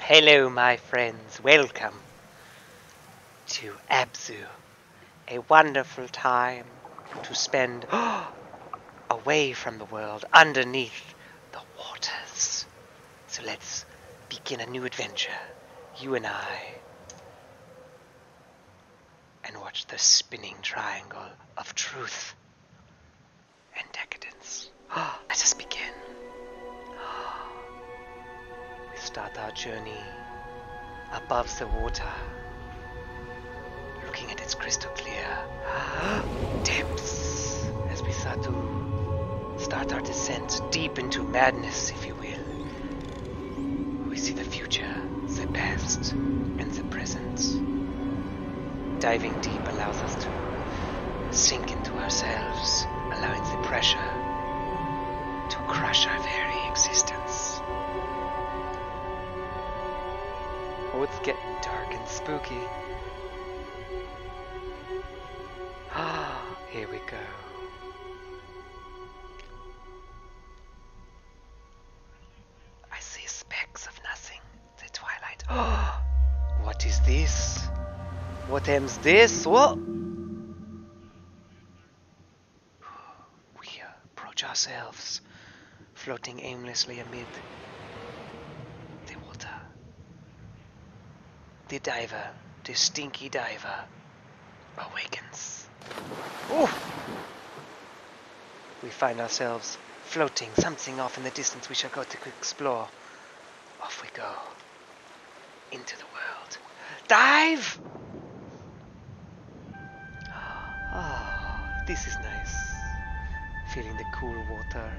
Hello my friends, welcome to Abzu. A wonderful time to spend away from the world, underneath the waters. So let's begin a new adventure, you and I. And watch the spinning triangle of truth and decadence. Let us begin. We start our journey above the water, looking at its crystal clear depths as we start to start our descent deep into madness, if you will. We see the future, the past, and the present. Diving deep allows us to sink into ourselves, allowing the pressure to crush our very existence. Oh, it's getting dark and spooky. Ah, here we go. I see specks of nothing. The twilight. Oh, what is this? What ends this? What? We approach ourselves, floating aimlessly amid the water. The diver, the stinky diver, awakens. We find ourselves floating, something off in the distance we shall go to explore. Off we go. Into the world. Dive! Oh, this is nice. Feeling the cool water.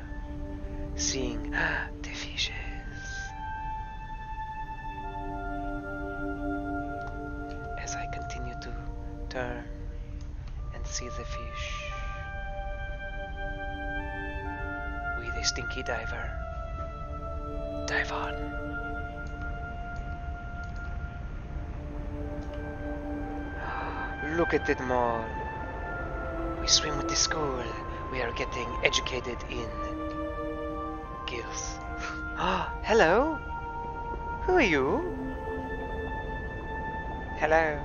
Seeing ah, the fishes. As I continue to turn and see the fish. We the stinky diver. Dive on. Look at it, mall. We swim with the school. We are getting educated in gills. Ah, hello. Who are you? Hello.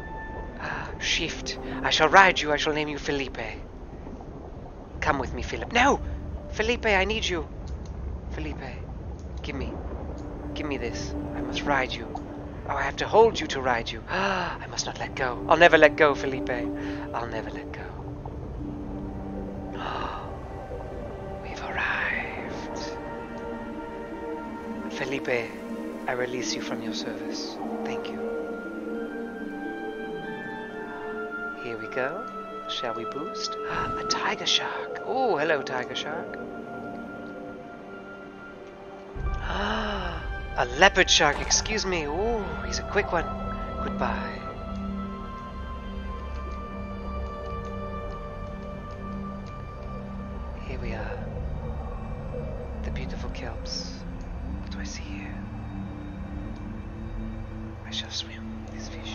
Ah, shift. I shall ride you. I shall name you Felipe. Come with me, Philip. No! Felipe, I need you. Felipe, give me. Give me this. I must ride you. Oh, I have to hold you to ride you. Ah, I must not let go. I'll never let go, Felipe. I'll never let go. Oh, we've arrived. Felipe, I release you from your service. Thank you. Here we go. Shall we boost? Ah, a tiger shark. Oh, hello, tiger shark. Ah, a leopard shark. Excuse me. Oh, he's a quick one. Goodbye. Here we are. The beautiful kelps clouds. What do I see here? I shall swim this fish.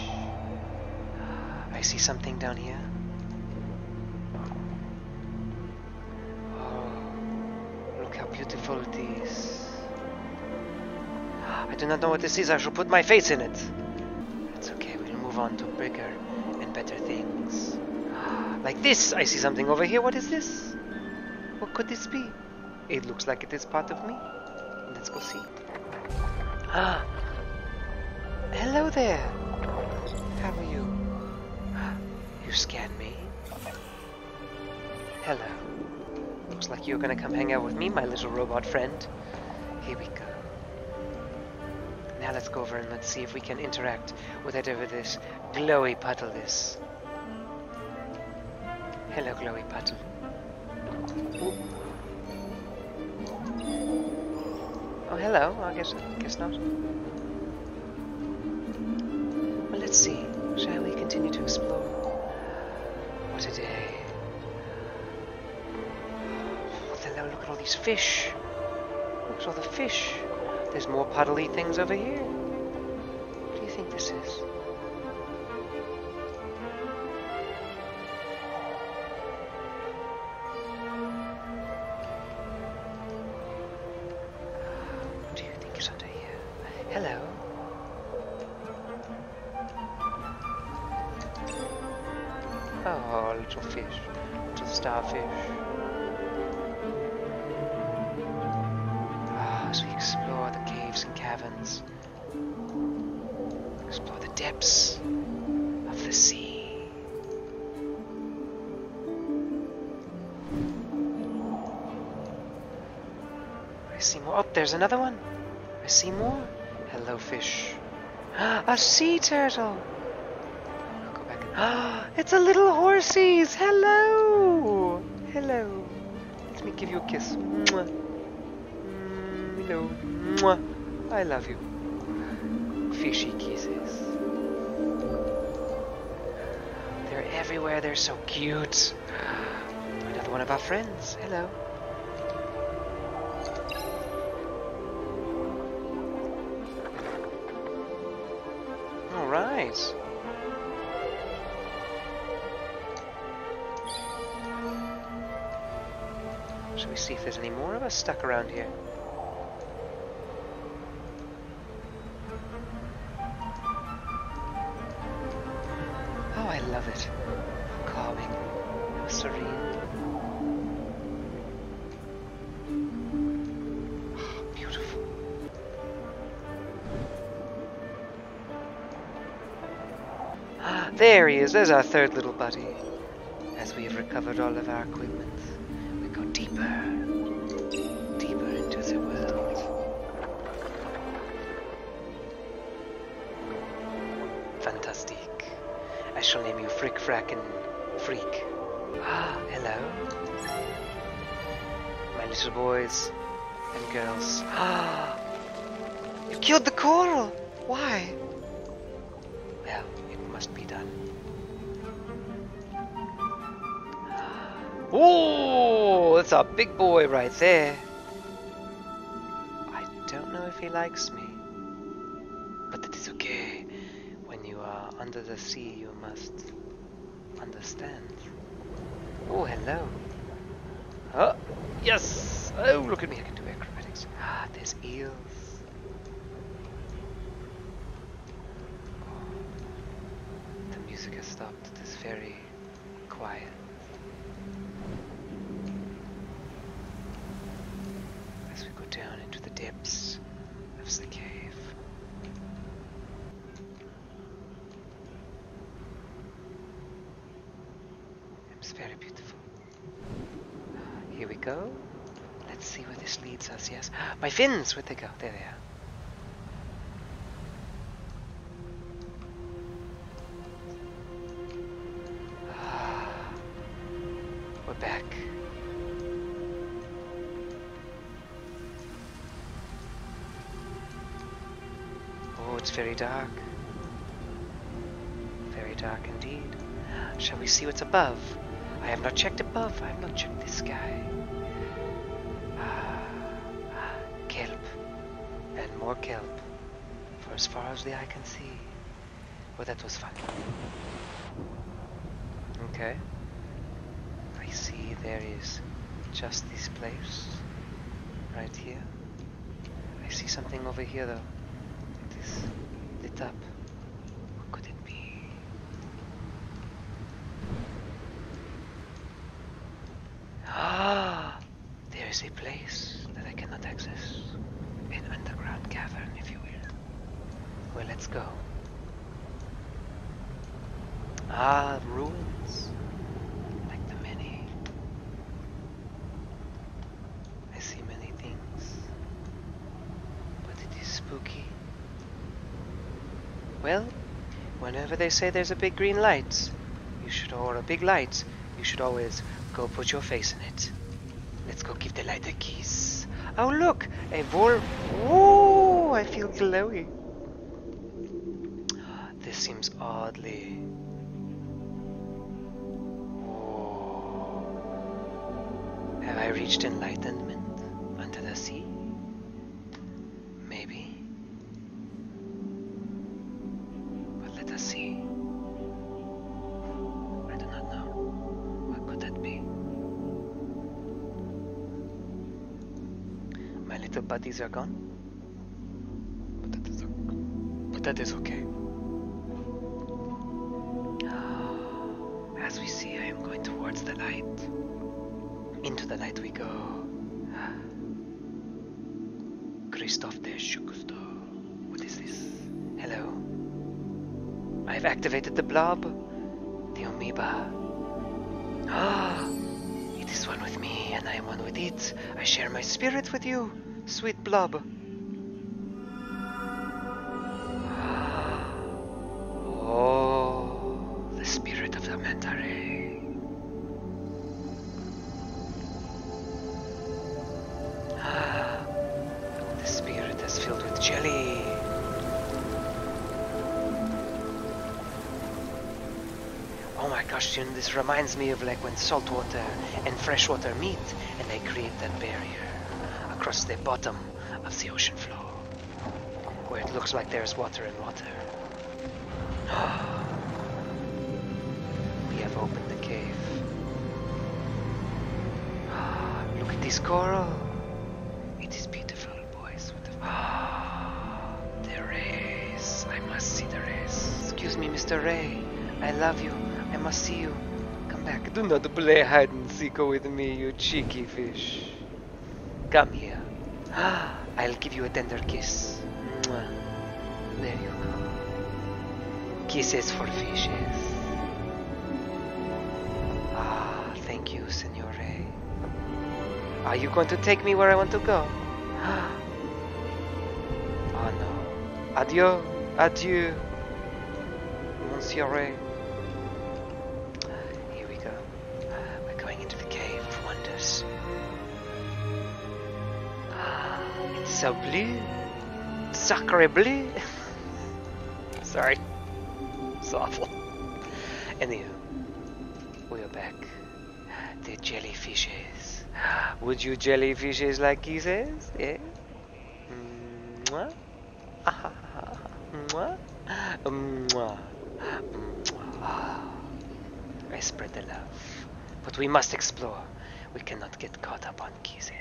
I see something down here. Oh, look how beautiful it is. I do not know what this is. I shall put my face in it. That's okay. We'll move on to bigger and better things. Like this, I see something over here. What is this? What could this be? It looks like it is part of me. Let's go see. Ah! Hello there! How are you? You scared me. Hello. Looks like you're gonna come hang out with me, my little robot friend. Here we go. Now let's go over and let's see if we can interact with whatever this glowy puddle is. Hello, Chloe Button. Oh, hello. I guess, guess not. Well, let's see. Shall we continue to explore? What a day. Look at all these fish. Look at all the fish. There's more puddly things over here. What do you think this is? What do you think is under here? Hello. Oh, little fish, little starfish. Ah, as we explore the caves and caverns, explore the depths of the sea. I see more. Oh, there's another one. I see more. Hello, fish. A sea turtle. Go back. It's a little horsey's. Hello. Hello. Let me give you a kiss. You know, mm, I love you. Fishy kisses. They're everywhere. They're so cute. Another one of our friends. Hello. All right. Shall we see if there's any more of us stuck around here? Oh, I love it. Calming, serene. Ah, beautiful. Ah, there he is. There's our third little buddy. As we have recovered all of our equipment, we go deeper, deeper into the world. Fantastic. I shall name you Frick Fracken Ah, hello. My little boys, and girls. Ah! you killed the coral! Why? Well, it must be done. Oh, that's our big boy right there. I don't know if he likes me, but it is okay. When you are under the sea, you must understand. Oh, hello. Oh, yes! Oh, look at me, I can do acrobatics. Ah, there's eels. Oh, the music has stopped. It is very quiet. As we go down into the depths of the cave. It's very beautiful. Here we go. Let's see where this leads us, yes. My fins! Where'd they go? There they are. Ah. back. Oh, it's very dark. Very dark indeed. Shall we see what's above? I have not checked above. I have not checked the sky. Ah, ah, kelp. And more kelp. For as far as the eye can see. Well, that was fun. Okay. I see there is just this place. right? here. I see something over here though. It is lit up. What could it be? Ah! There is a place that I cannot access. An underground cavern, if you will. Well, let's go. Ah, ruins. Like the many I see many things, but it is spooky. Well, whenever they say there's a big green light, you should, or a big light, you should always go put your face in it. Let's go give the light a kiss. Oh look, a vol- Whoa, I feel glowy. This seems oddly. Oh. Have I reached enlightenment under the sea? Maybe. But let us see. I do not know. What could that be? My little buddies are gone? But that is, okay. As we see, I am going towards the light. Into the light we go. Christophe de Schukusto. What is this? Hello? I have activated the blob. The amoeba. Ah! It is one with me, and I am one with it. I share my spirit with you, sweet blob. Oh, the spirit of the Mentare. Ah, the spirit is filled with jelly. Oh my gosh, this reminds me of like when saltwater and freshwater meet and they create that barrier across the bottom of the ocean floor. Where it looks like there's water and water. we have opened the cave. Look at this coral. It is beautiful, boys. What the race. I must see the race. Excuse me, Mr. Ray. I love you. I must see you. Come back. Do not play hide and seek with me, you cheeky fish. Come here. Ah, I'll give you a tender kiss. There you go. Kisses for fishes. Ah, thank you, Senor Ray. Are you going to take me where I want to go? Ah. Oh ah, no. Adieu, adieu, Monsieur ah, Here we go. Ah, we're going into the Cave of Wonders. Ah, it's so blue. Sacre bleu. Sorry. It's awful. Anywho, we are back the jellyfishes. Would you jellyfishes like kisses? Yeah? Mwah? Mwah? Mwah. Mwah. I spread the love. But we must explore. We cannot get caught up on kisses.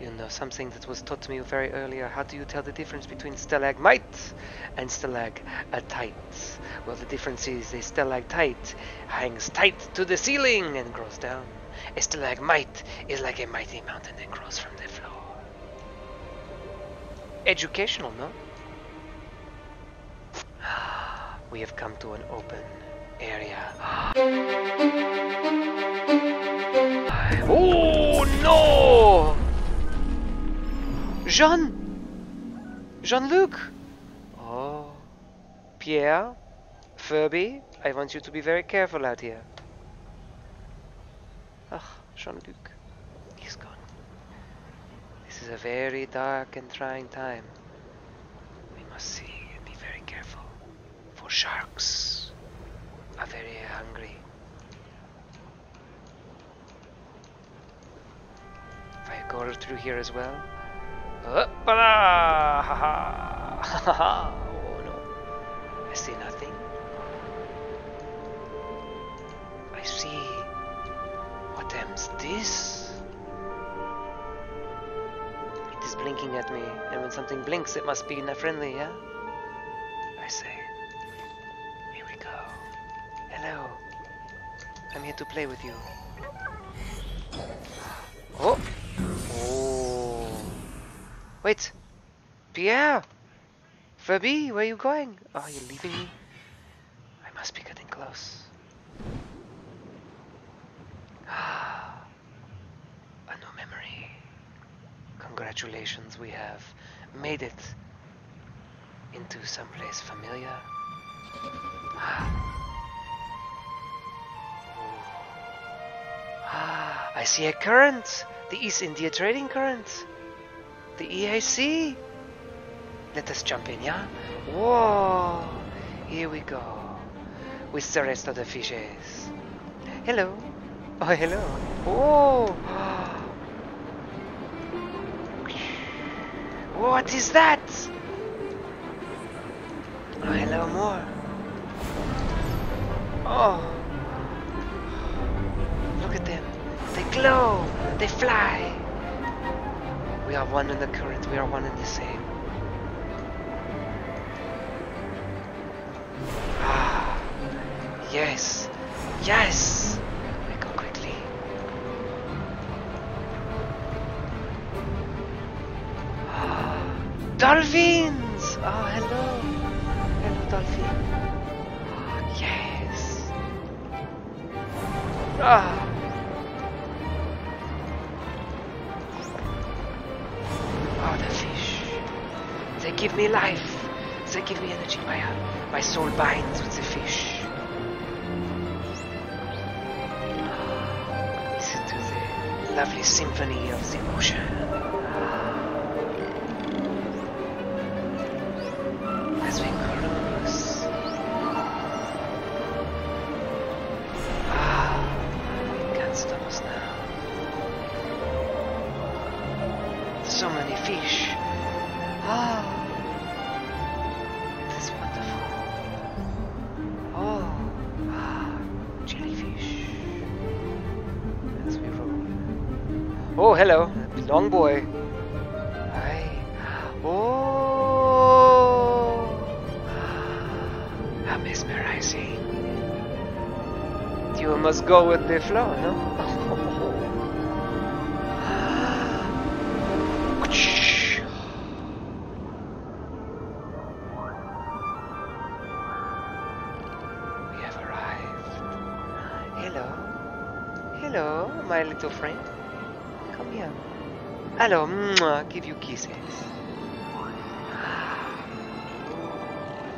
You know something that was taught to me very earlier. How do you tell the difference between stalagmite? And still like a stalactites. Well, the difference is still like stalactite hangs tight to the ceiling and grows down. still like might is like a mighty mountain that grows from the floor. Educational, no? We have come to an open area. Oh no! Jean! Jean-Luc! Oh. Pierre? Furby? I want you to be very careful out here. Ah, Jean-Luc. He's gone. This is a very dark and trying time. We must see and be very careful. For sharks are very hungry. If I go through here as well. Hoppala! Ha ha! Ha ha! Oh no. I see nothing. I see. What is this? It is blinking at me, and when something blinks, it must be not friendly, yeah? I say. Here we go. Hello. I'm here to play with you. Oh! oh. Wait! Pierre! Fabi, where are you going? Are oh, you leaving me? I must be getting close. Ah! A new memory. Congratulations, we have made it into someplace familiar. Ah. ah, I see a current, the East India Trading Current, the EIC. Let us jump in, yeah? Whoa, here we go, with the rest of the fishes. Hello, oh hello, whoa, what is that? Oh, hello, more. Oh. Look at them. They glow. They fly. We are one in the current. We are one in the same. Ah. Yes. Yes! Yes! go quickly. Dolphins! Oh, hello. Hello, dolphin. Oh, yes. Ah. Oh, the fish. They give me life. They give me energy, Maya. My soul binds with the fish. Listen to the lovely symphony of the ocean. As we cruise. Ah, it can't stop us now. So many fish. Ah. This wonderful. Oh, ah, jellyfish. As we roll. Oh, hello, long boy. Hi. Oh, how mesmerizing. You must go with the flow, no? Hello, hello, my little friend. Come here. Hello, mwah, give you kisses.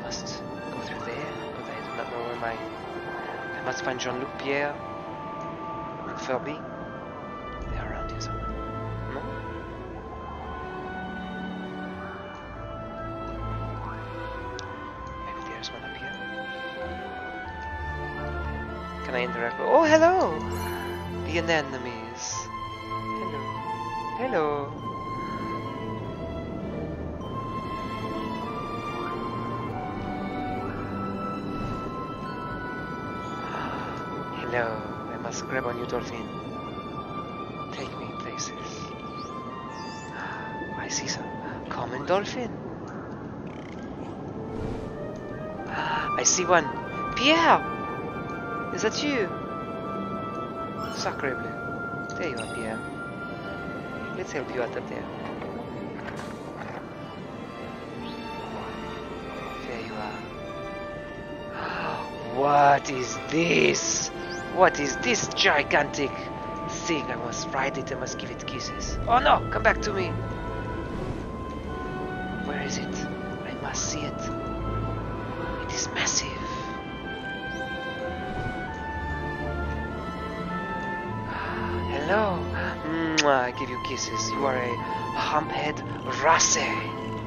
must go through there, but I do not know where my I must find Jean-Luc Pierre and Furby. They're around here somewhere. No? Maybe there's one up here. Can I interact Oh, hello! The anemones. Hello. Hello. Hello, I must grab on you, Dolphin. Take me places. I see some common dolphin. Ah, I see one. Pierre! Is that you? Sacre bleu. There you are, Pierre. Let's help you out up there. There you are. What is this? What is this gigantic thing? I must ride it, I must give it kisses. Oh no, come back to me. Where is it? I must see it. It is massive. Hello. I give you kisses. You are a humphead rasse. Well,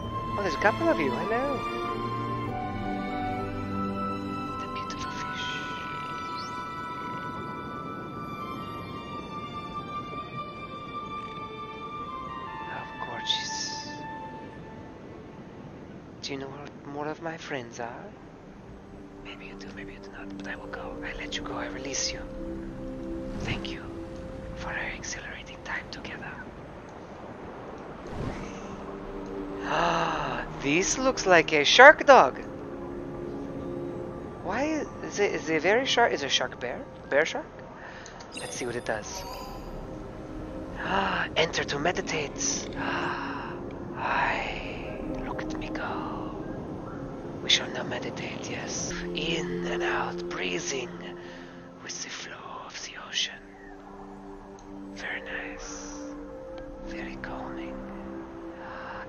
oh, there's a couple of you. Hello. The beautiful fish. How gorgeous. Do you know where more of my friends are? Maybe you do, maybe you do not, but I will go. I let you go, I release you. Thank you for our exhilarating time together. Ah, this looks like a shark dog. Why is it is a very shark is it a shark bear? Bear shark? Let's see what it does. Ah, enter to meditate. Ah, I look at me go. We shall now meditate, yes, in and out, breathing with the flow of the ocean. Very nice, very calming.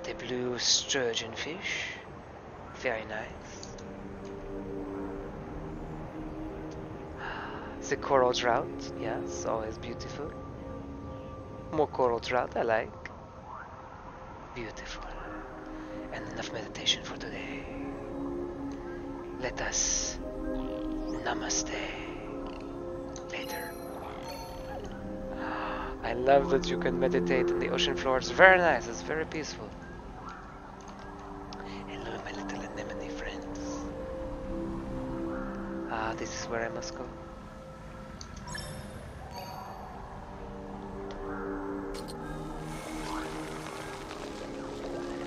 The blue sturgeon fish, very nice. The coral trout, yes, always beautiful. More coral trout, I like. Beautiful. And enough meditation for today. Let us namaste later. Ah, I love that you can meditate in the ocean floor. It's very nice. It's very peaceful. Hello, my little anemone friends. Ah, this is where I must go.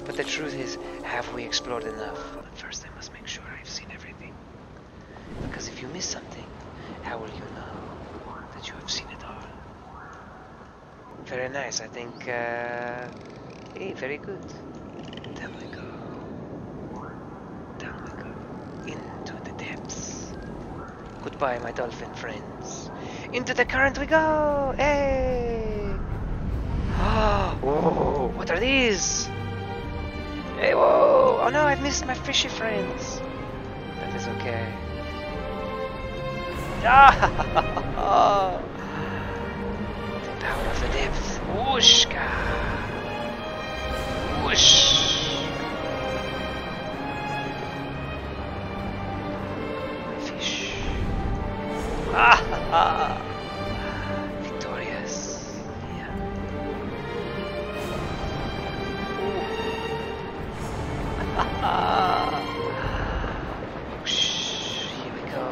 But the truth is, have we explored enough? First, I must make sure I've seen everything. Because if you miss something, how will you know that you have seen it all? Very nice, I think... Uh, hey, very good. There we go down we go. Into the depths. Goodbye, my dolphin friends. Into the current we go! Hey! Oh, what are these? Hey, whoa! Oh no, I've missed my fishy friends. That is okay. Ah! the power of the depths. Whooshka! Whoosh. Fish. Ah ha Victorious. Yeah. Here we go.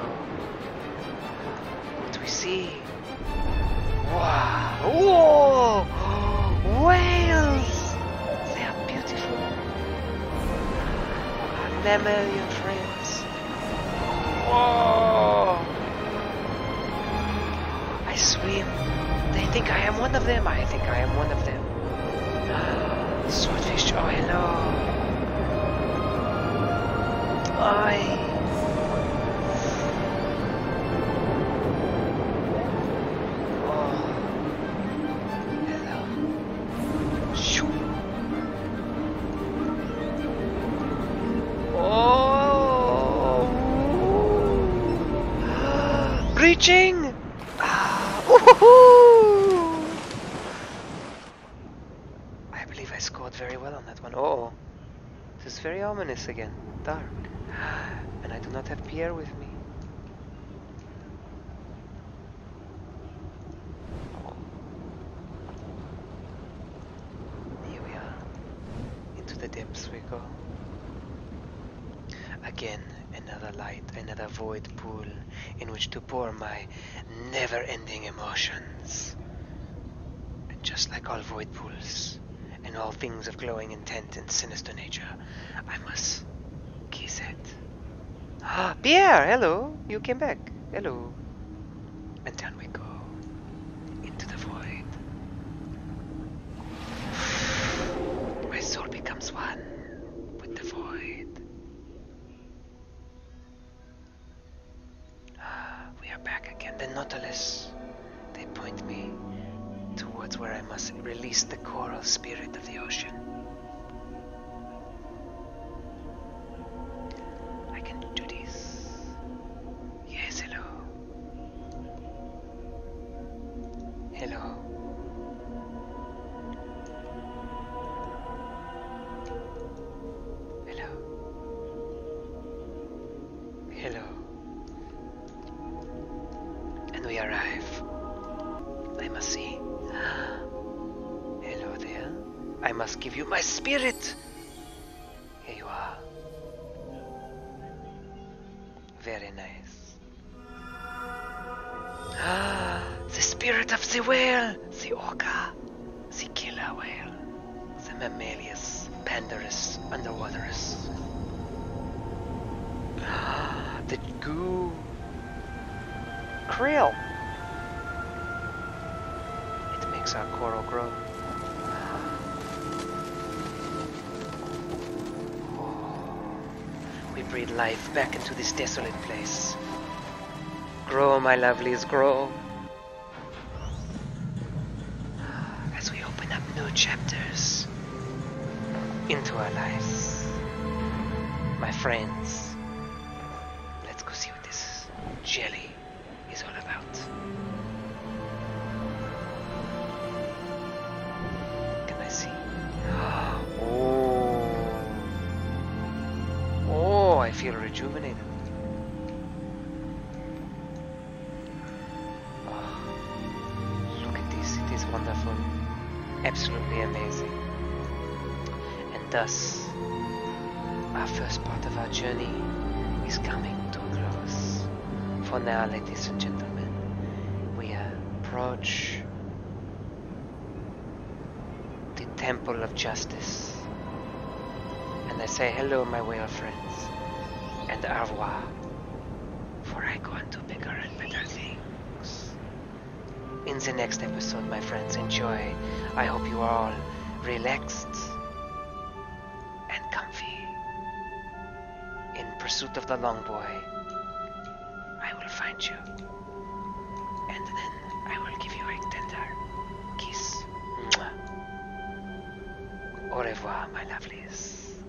What do we see? Wow. Oh, Whales! They are beautiful. Mammalian friends. Whoa! I swim. They think I am one of them. I think I am one of them. Swordfish, oh hello. I. Breaching! Oh. Ah. I believe I scored very well on that one. oh. This is very ominous again. Dark. And I do not have Pierre with me. Here we are. Into the depths we go. Again, another light, another void pool in which to pour my never-ending emotions. And just like all void pools, darkness, and all things of glowing intent and sinister nature. I must kiss it. Ah, Pierre, hello. You came back. Hello. And then we go. Into the void. My soul becomes one with the void. Ah, we are back again. The Nautilus. They point me towards where I must release the coral spirit of the ocean. I can do this. Yes, hello. Hello. Hello. Hello. And we arrive. I must see. Hello there. I must give you my spirit! Here you are. Very nice. Ah, the spirit of the whale! The orca! The killer whale! The mammalus, pandarus Underwater is the goo krill. It makes our coral grow. We breathe life back into this desolate place. Grow, my lovelies, grow. as we open up new chapters into our lives. My friends, let's go see what this jelly is all about. Can I see? Oh, oh, I feel rejuvenated look at this, it is wonderful, absolutely amazing. And thus, our first part of our journey is coming to a close. For now, ladies and gentlemen, we approach the Temple of Justice. And I say hello, my whale friends, and au revoir, for I go on to bigger better things. In the next episode, my friends, enjoy. I hope you are all relaxed and comfy. In pursuit of the long boy, I will find you. And then I will give you a tender kiss. Au revoir, my lovelies.